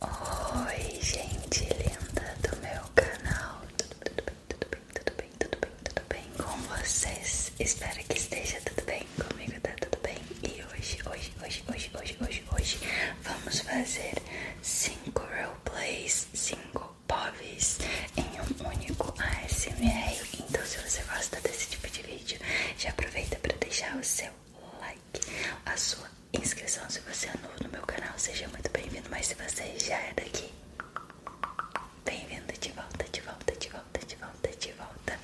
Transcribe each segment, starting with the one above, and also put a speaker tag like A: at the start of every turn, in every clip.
A: Oi, gente linda do meu canal. Tudo, bem, tudo bem, tudo bem, tudo bem, tudo bem com vocês? Espero que esteja tudo bem comigo, tá tudo bem? E hoje, hoje, hoje, hoje, hoje, hoje, hoje, vamos fazer 5 roleplays, 5 POVs em um único ASMR. Então, se você gosta desse tipo de vídeo, já aproveita para deixar o seu like, a sua inscrição se você é novo no meu canal, seja muito bem-vindo, mas se você já é daqui, bem-vindo de volta, de volta, de volta, de volta, de volta.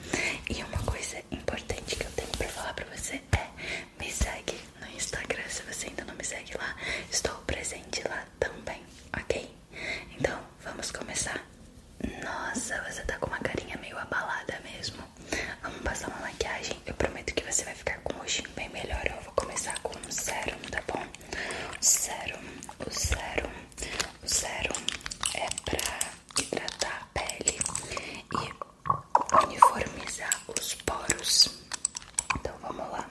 A: E uma coisa importante que eu tenho pra falar pra você é me segue no Instagram, se você ainda não me segue lá, estou presente lá também, ok? Então, vamos começar? Nossa, você tá com uma carinha meio abalada mesmo. Vamos passar uma maquiagem. Eu prometo que você vai ficar com um rostinho bem melhor. Eu vou começar com um sérum, tá bom? O sérum, o sérum, o sérum é pra hidratar a pele e uniformizar os poros. Então vamos lá. Vamos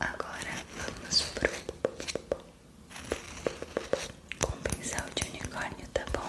A: Agora vamos pro com pincel de unicórnio, tá bom?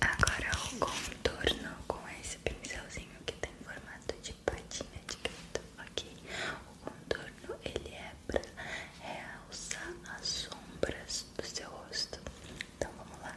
A: Agora o contorno com esse pincelzinho que tem tá formato de patinha de gato ok? O contorno ele é pra realçar as sombras do seu rosto. Então vamos lá.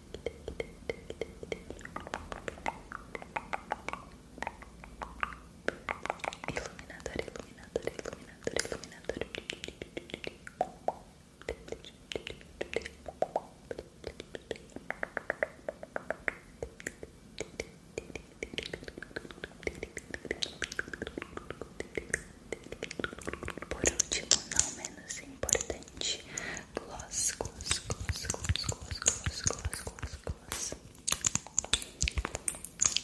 A: Iluminador, iluminador, iluminador, iluminador. Por último, não menos importante, gloss, gloss, gloss, gloss, gloss, gloss, gloss, gloss, gloss.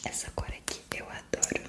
A: Essa cor aqui eu adoro.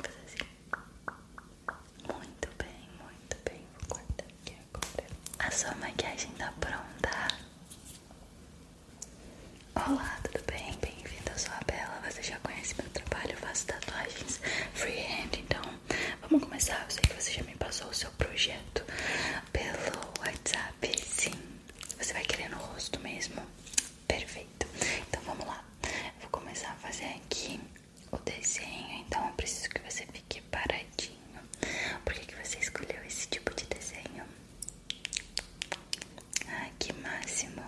A: Fazer assim. Muito bem, muito bem. Vou cortar aqui agora. A sua maquiagem tá pronta. Olá, tudo bem? Bem-vinda, eu sou a Bela. Você já conhece meu trabalho, eu faço tatuagens freehand, então vamos começar. Eu sei que você já me passou o seu projeto pelo WhatsApp, sim. Você vai querer no rosto mesmo? Perfeito. Então vamos lá. Eu vou começar a fazer aqui o desenho. Então eu preciso que você fique paradinho. Por que, que você escolheu esse tipo de desenho? Ah, que máximo.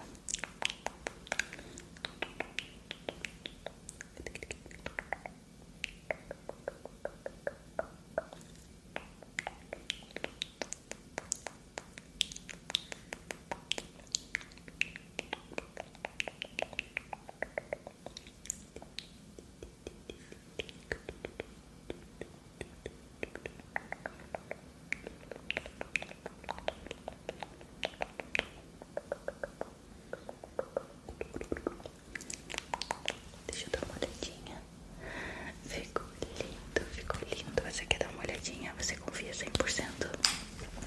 A: Deixa eu dar uma olhadinha. Ficou lindo, ficou lindo. Você quer dar uma olhadinha? Você confia 100%?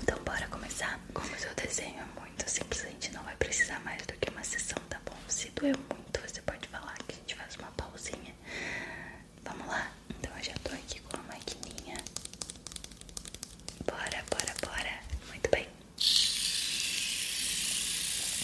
A: Então, bora começar? Como o seu desenho é muito simples, a gente não vai precisar mais do que uma sessão, tá bom? Se doer muito, você pode falar que a gente faz uma pausinha. Vamos lá? Então, eu já tô aqui com a maquininha. Bora, bora, bora. Muito bem.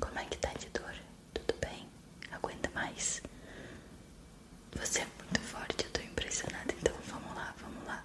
A: Como é que tá de dor? Tudo bem? Aguenta mais? Você é muito forte, eu tô impressionada. Então vamos lá, vamos lá.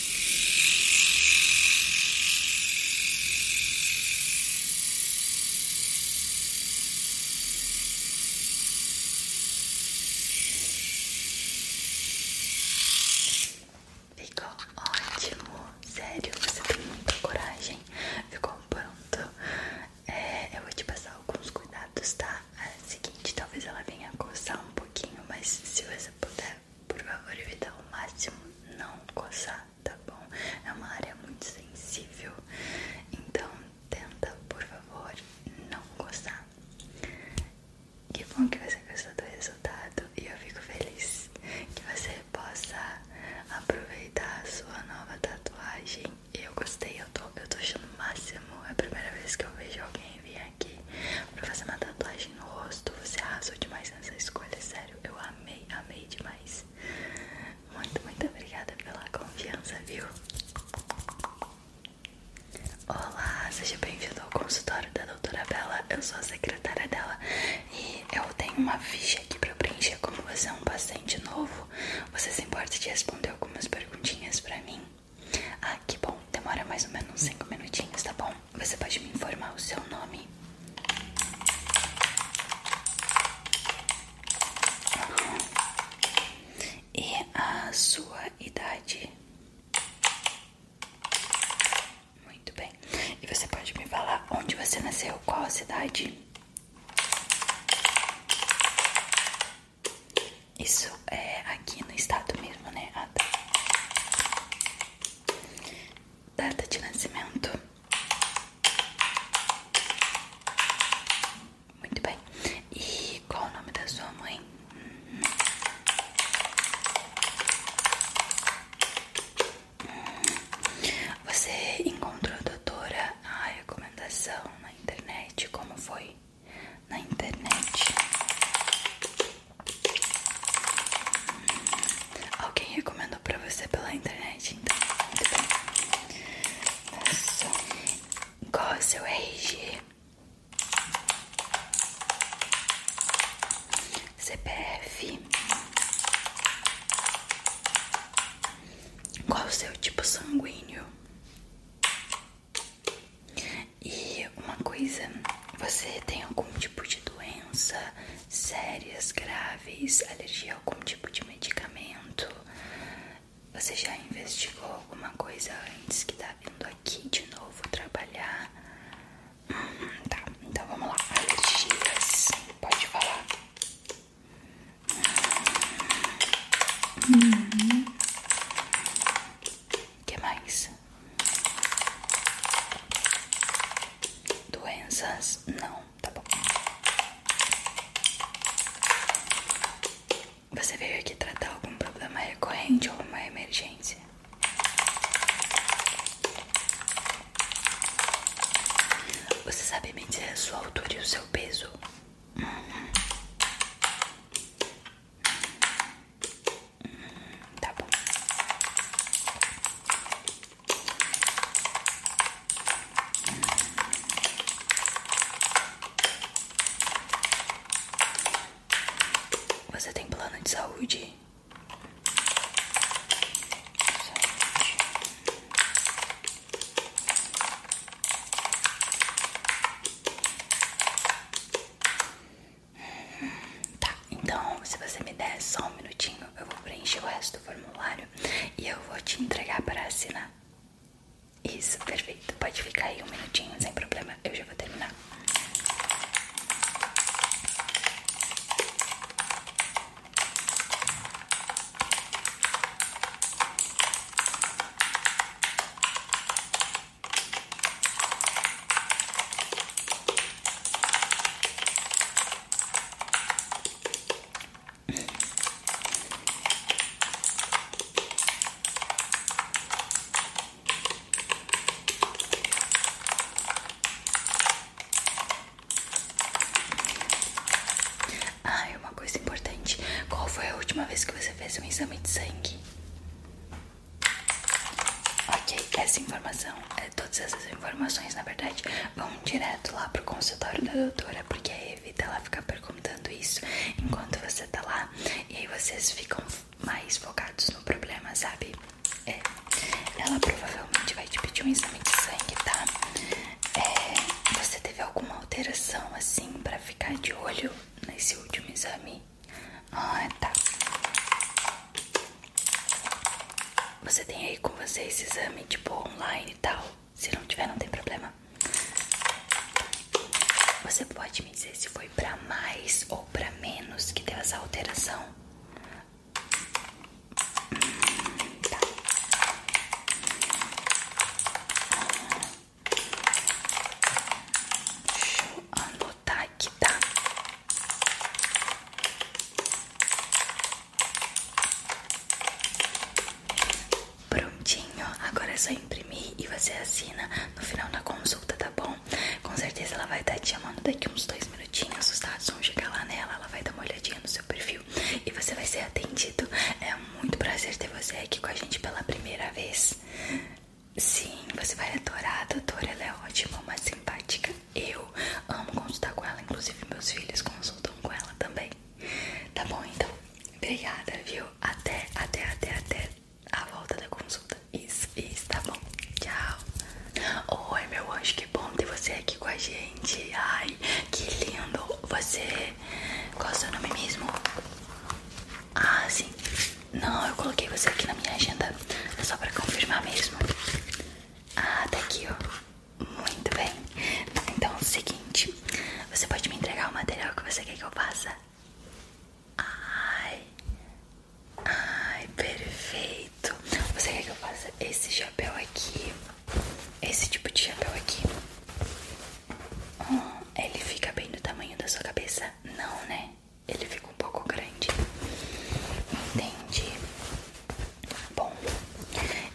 A: Ficou ótimo, sério, você tem muita coragem, ficou pronto. É, eu vou te passar alguns cuidados, tá? É o seguinte, talvez ela venha coçar um pouquinho, mas se você puder por favor, evite ao máximo não coçar, tá bom? É uma área muito sensível, então tenta, por favor, não coçar. Que bom que você gostou do resultado e eu fico feliz que você possa aproveitar a sua nova tatuagem. Eu gostei, eu tô, eu tô achando o máximo. É a primeira vez que eu vejo alguém vir aqui pra fazer uma tatuagem no rosto. Você arrasou demais nessa escolha, sério eu amei, amei demais. Muito, muito obrigada pela confiança, viu? Olá, seja bem-vindo ao consultório da doutora Bela, eu sou a secretária dela e eu tenho uma ficha aqui pra preencher como você é um paciente novo. Você se importa de responder algumas perguntinhas pra mim? Ah, que bom, demora mais ou menos 5 minutinhos, tá bom? Você pode me informar o seu nome? E a sua idade? Muito bem. E você pode me falar onde você nasceu? Qual a cidade? Isso é aqui no estado mesmo, né? Ah, tá data de nascimento. Muito bem. E qual o nome da sua mãe? Você encontrou a doutora a recomendação na internet? Como foi? Na internet. Alguém recomendou pra você pela internet, então muito bem. Nossa, qual é o seu RG? CPF. Qual o seu tipo sanguíneo? E uma coisa, você tem algum tipo de doença sérias, graves, alergia a algum tipo de medicamento? Você já investigou alguma coisa antes que tá vindo aqui de novo trabalhar? Hum, tá, então vamos lá. Alergias, pode falar. Hum que mais? Doenças? Não, tá bom. Você veio aqui tratar algum problema recorrente ou uma emergência? Você sabe me dizer a sua altura e o seu peso? Uhum. Tá bom. Você tem plano de saúde? Tá, então se você me der só um minutinho, eu vou preencher o resto do formulário e eu vou te entregar para assinar. Isso, perfeito. Pode ficar aí um minutinho sem problema, eu já vou terminar. Ah, uma coisa importante. Qual foi a última vez que você fez um exame de sangue? Ok, essa informação, eh, todas essas informações na verdade vão direto lá pro consultório da doutora, porque a Evita ela ficar perguntando isso enquanto você tá lá, e aí vocês ficam mais focados no problema, sabe? É, ela provavelmente vai te pedir um exame de sangue, tá? É, você teve alguma alteração assim pra ficar de olho nesse último exame? Ah, tá. Você tem aí com você esse exame, tipo, online e tal? Se não tiver, não tem problema. Você pode me dizer se foi pra mais ou pra menos que deu essa alteração? Hum, tá. Deixa eu anotar tá aqui tá Prontinho, agora é só imprimir e você assina no final da consulta, tá bom? Com certeza ela vai estar te chamando daqui uns dois minutinhos, os dados vão chegar lá nela, ela vai dar uma olhadinha no seu perfil e você vai ser atendido. É muito prazer ter você aqui com a gente pela primeira vez. Sim, você vai adorar. A doutora ela é ótima, uma simpática. Eu amo consultar com ela, inclusive meus filhos consultam com ela também. Tá bom, então. Obrigada, viu? Até, até, até, até a volta da consulta. Isso, isso, tá bom. Tchau. Oi, meu anjo, que bom ter você aqui com a gente. Ai, que lindo. Você. Qual é mim mesmo? Ah, sim. Não, eu coloquei você aqui na minha agenda. É só pra confirmar mesmo. Ah, tá aqui, ó. Muito bem. então seguinte. Você pode me entregar o material que você quer que eu faça? Ai. Ai, perfeito. Você quer que eu faça esse chapéu aqui? Esse tipo de chapéu aqui? Hum, ele fica bem do tamanho da sua cabeça? Não, né? ele fica um pouco grande. Entendi. Bom,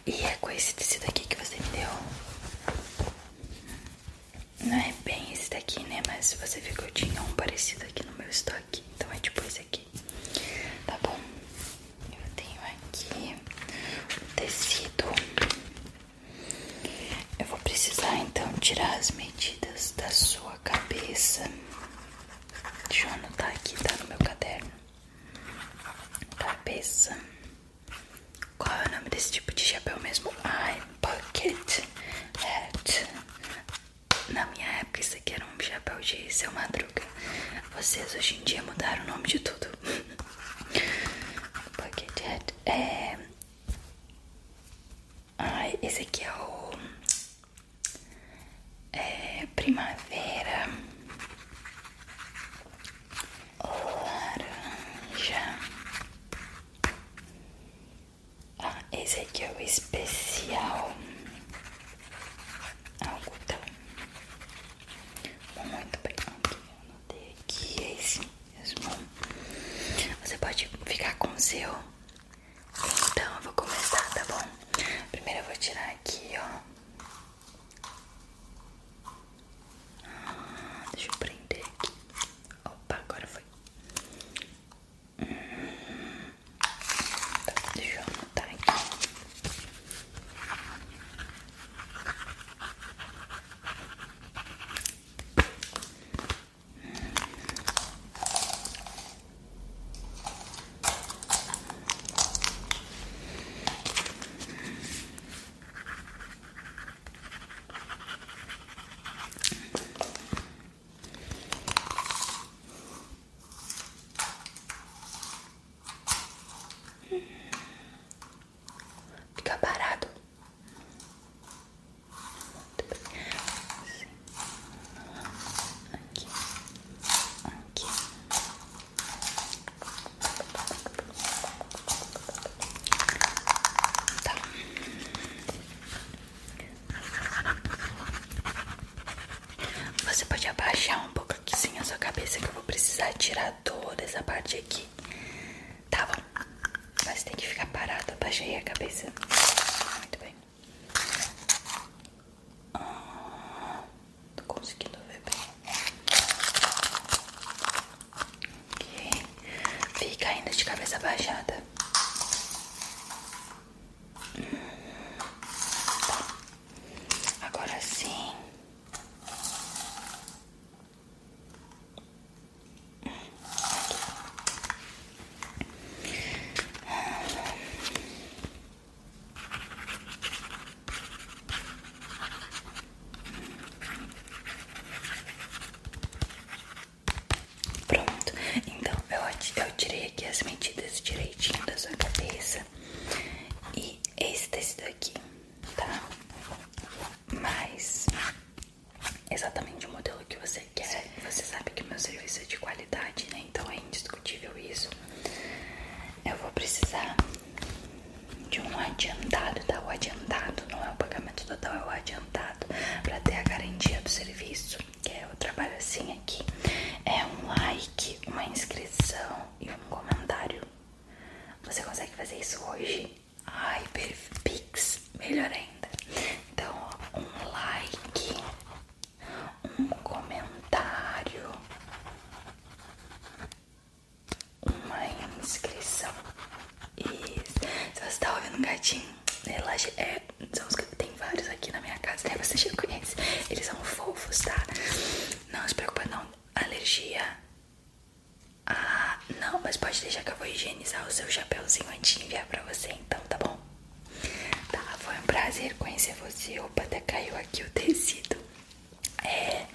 A: e é com esse tecido aqui que você me deu? Não é bem esse daqui, né? Mas você viu que eu tinha um parecido aqui no meu estoque. Então é tipo esse aqui. Tá bom? Eu tenho aqui o tecido eu vou precisar então tirar as medidas da sua cabeça. Deixa eu anotar aqui, tá no meu caderno. Cabeça. Qual é o nome desse tipo de chapéu mesmo? Ai, bucket hat. Na minha época isso aqui era um chapéu de seu madruga. Vocês hoje em dia mudaram o nome de tudo. bucket hat é Ai, esse aqui é o. É, primavera. Laranja. Ah, esse aqui é o especial. Algodão. Muito bem. Aqui, eu anotei aqui é esse mesmo. Você pode ficar com o seu. Então eu vou começar, tá bom? Primeiro eu vou tirar aqui, ó. Ah, deixa eu prender aqui. Opa, agora foi. Hum, tá, deixa eu anotar aqui. Fica parado. Assim. Aqui. Aqui. Tá. Você pode abaixar um pouco aqui sim a sua cabeça que eu vou precisar tirar toda essa parte aqui Tá bom. Mas tem que ficar parado. Abaixei a cabeça. Muito bem. Ah, tô conseguindo ver bem. Ok. Fica ainda de cabeça abaixada. Tá. Agora sim. Pronto, então eu, eu tirei aqui as medidas direitinho da sua cabeça e esse daqui tá? Mas exatamente o modelo que você quer. Você sabe que o meu serviço é de qualidade, né? Então é indiscutível isso. Eu vou precisar de um adiantado, tá? O adiantado não é o pagamento total, é o adiantado para ter a garantia do serviço, que é o trabalho assim aqui. É um like, uma inscrição e um comentário. Você consegue fazer isso hoje? Ai, Pix, melhor ainda. Então, um like, um comentário, uma inscrição. E se você tá ouvindo um gatinho, relaxa. Né, é, são os, tem vários aqui na minha casa, né? Você já conhece. Eles são fofos, tá? Não se preocupa, não. Alergia ah, não, mas pode deixar que eu vou higienizar o seu chapéuzinho antes de enviar pra você, então, tá bom? Tá, foi um prazer conhecer você. Opa, até caiu aqui o tecido. É,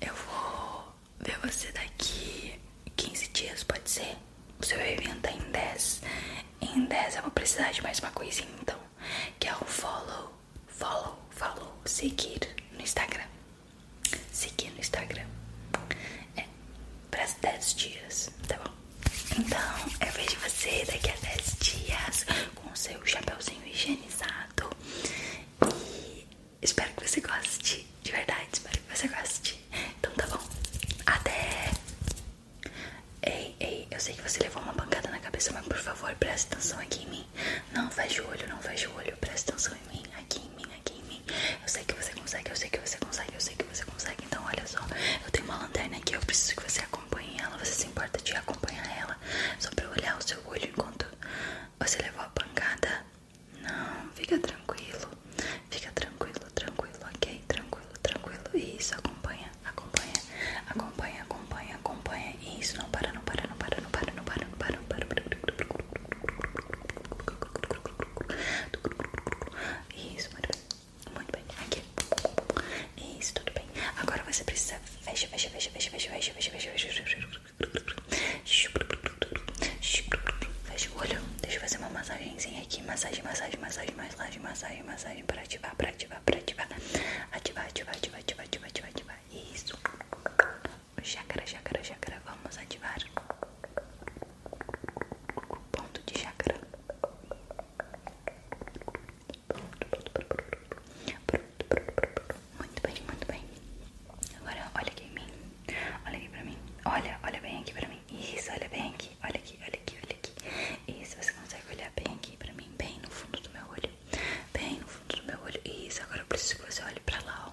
A: eu vou ver você daqui 15 dias, pode ser? O seu evento é em 10. Em 10 eu vou precisar de mais uma coisinha, então, que é o follow, follow, follow, seguir no Instagram seguir no Instagram é, para 10 dias, tá bom? Então eu vejo você daqui a 10 dias com o seu chapéuzinho higienizado e espero que você goste, de verdade, espero que você goste. Então tá bom, até! Ei, ei, eu sei que você levou uma pancada na cabeça, mas por favor preste atenção aqui em mim. Não feche o olho, não feche o olho, preste atenção em mim, aqui em mim, aqui em mim. Eu sei que você consegue, eu sei que você consegue, eu sei que você consegue. Então, olha só, eu tenho uma lanterna aqui, eu preciso que você acompanhe ela. Você se importa de acompanhar ela? Só pra olhar o seu olho enquanto você levou a pancada? Não, fica tranquilo. Fica tranquilo, tranquilo, ok? Tranquilo, tranquilo. Isso, acompanha, acompanha, acompanha, acompanha, acompanha. Isso, não para, não para, não para, não para, não para, não para, não para. Não para, não para. Isso, muito bem. Muito bem. Aqui. Isso, tudo bem. Agora você precisa. Fecha, fecha, fecha, fecha, fecha, fecha, fecha, fecha, fecha, fecha o olho. Deixa eu fazer uma massagenzinha aqui. Massagem, massagem, massagem, massagem, massagem, massagem. Pra ativar, para ativar, para Ativar, ativar, ativar, ativar, ativar, ativar. Isso chakra, chakra, chakra. Vamos ativar o ponto de chakra. Muito bem, muito bem. Agora olha aqui em mim. Olha aqui pra mim. Olha, olha bem aqui pra mim. Isso, olha bem aqui. Olha aqui, olha aqui, olha aqui. Isso, você consegue olhar bem aqui pra mim, bem no fundo do meu olho. Bem no fundo do meu olho. Isso, agora eu preciso que você olhe pra lá, ó.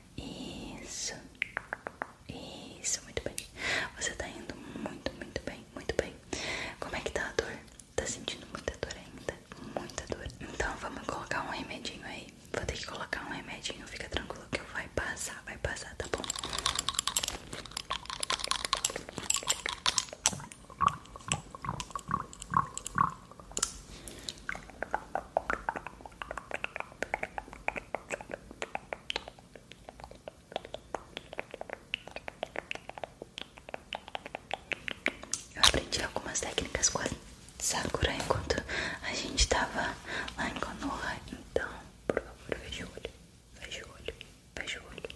A: Isso. Isso, muito bem. Você tá indo muito, muito bem, muito bem. Como é que tá a dor? Tá sentindo muita dor ainda? Muita dor. Então vamos colocar um remedinho aí. Vou ter que colocar um remedinho, fica tranquilo que vai passar, vai passar, tá bom? Eu aprendi algumas técnicas com a Sakura enquanto a gente estava lá em Konoha, então, por favor, veja o olho, veja o olho, veja o olho.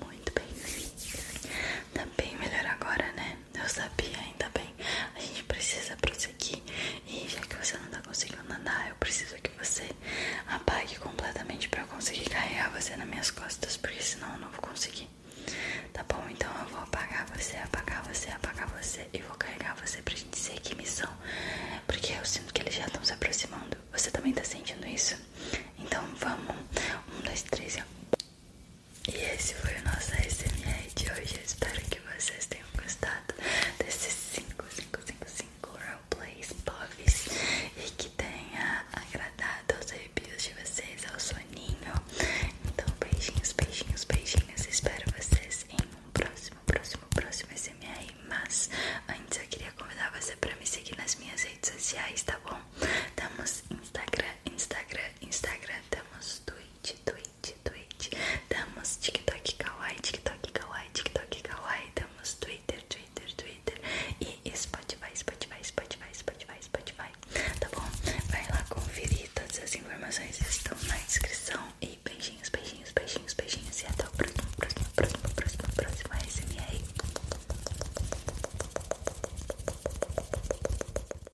A: Muito bem, tá bem melhor agora, né? Eu sabia, ainda bem. A gente precisa prosseguir. E já que você não tá conseguindo nadar, eu preciso que você apague completamente pra eu conseguir carregar você nas minhas costas, porque senão eu não vou conseguir. Tá bom? Então eu vou apagar você, apagar você, apagar você e vou carregar você pra gente seguir missão. Porque eu sinto que eles já estão se aproximando. Você também tá sentindo isso? Então vamos. Um, dois, três e. E esse foi o nosso ASMR de hoje. espero que vocês tenham gostado desses 5, 5, 5, 5 roleplays pobres e que tenha agradado aos arrepios de vocês, ao soninho. Então, beijinhos, beijinhos, beijinhos. Espero vocês em um próximo, próximo, próximo ASMR. Mas antes eu queria convidar você para me seguir nas minhas redes sociais, tá bom? Temos Instagram, Instagram, Instagram, temos Twitch, Twitter. Twitch, Twitch. Temos TikTok Kawaii, TikTok Kawaii, TikTok Kawaii. Temos Twitter, Twitter, Twitter. E Spotify, Spotify, Spotify, Spotify, Spotify. Tá bom? Vai lá conferir. Todas as informações estão na descrição. E beijinhos, beijinhos, beijinhos, beijinhos. E até o próximo, próximo, próximo, próximo, próximo ASMR.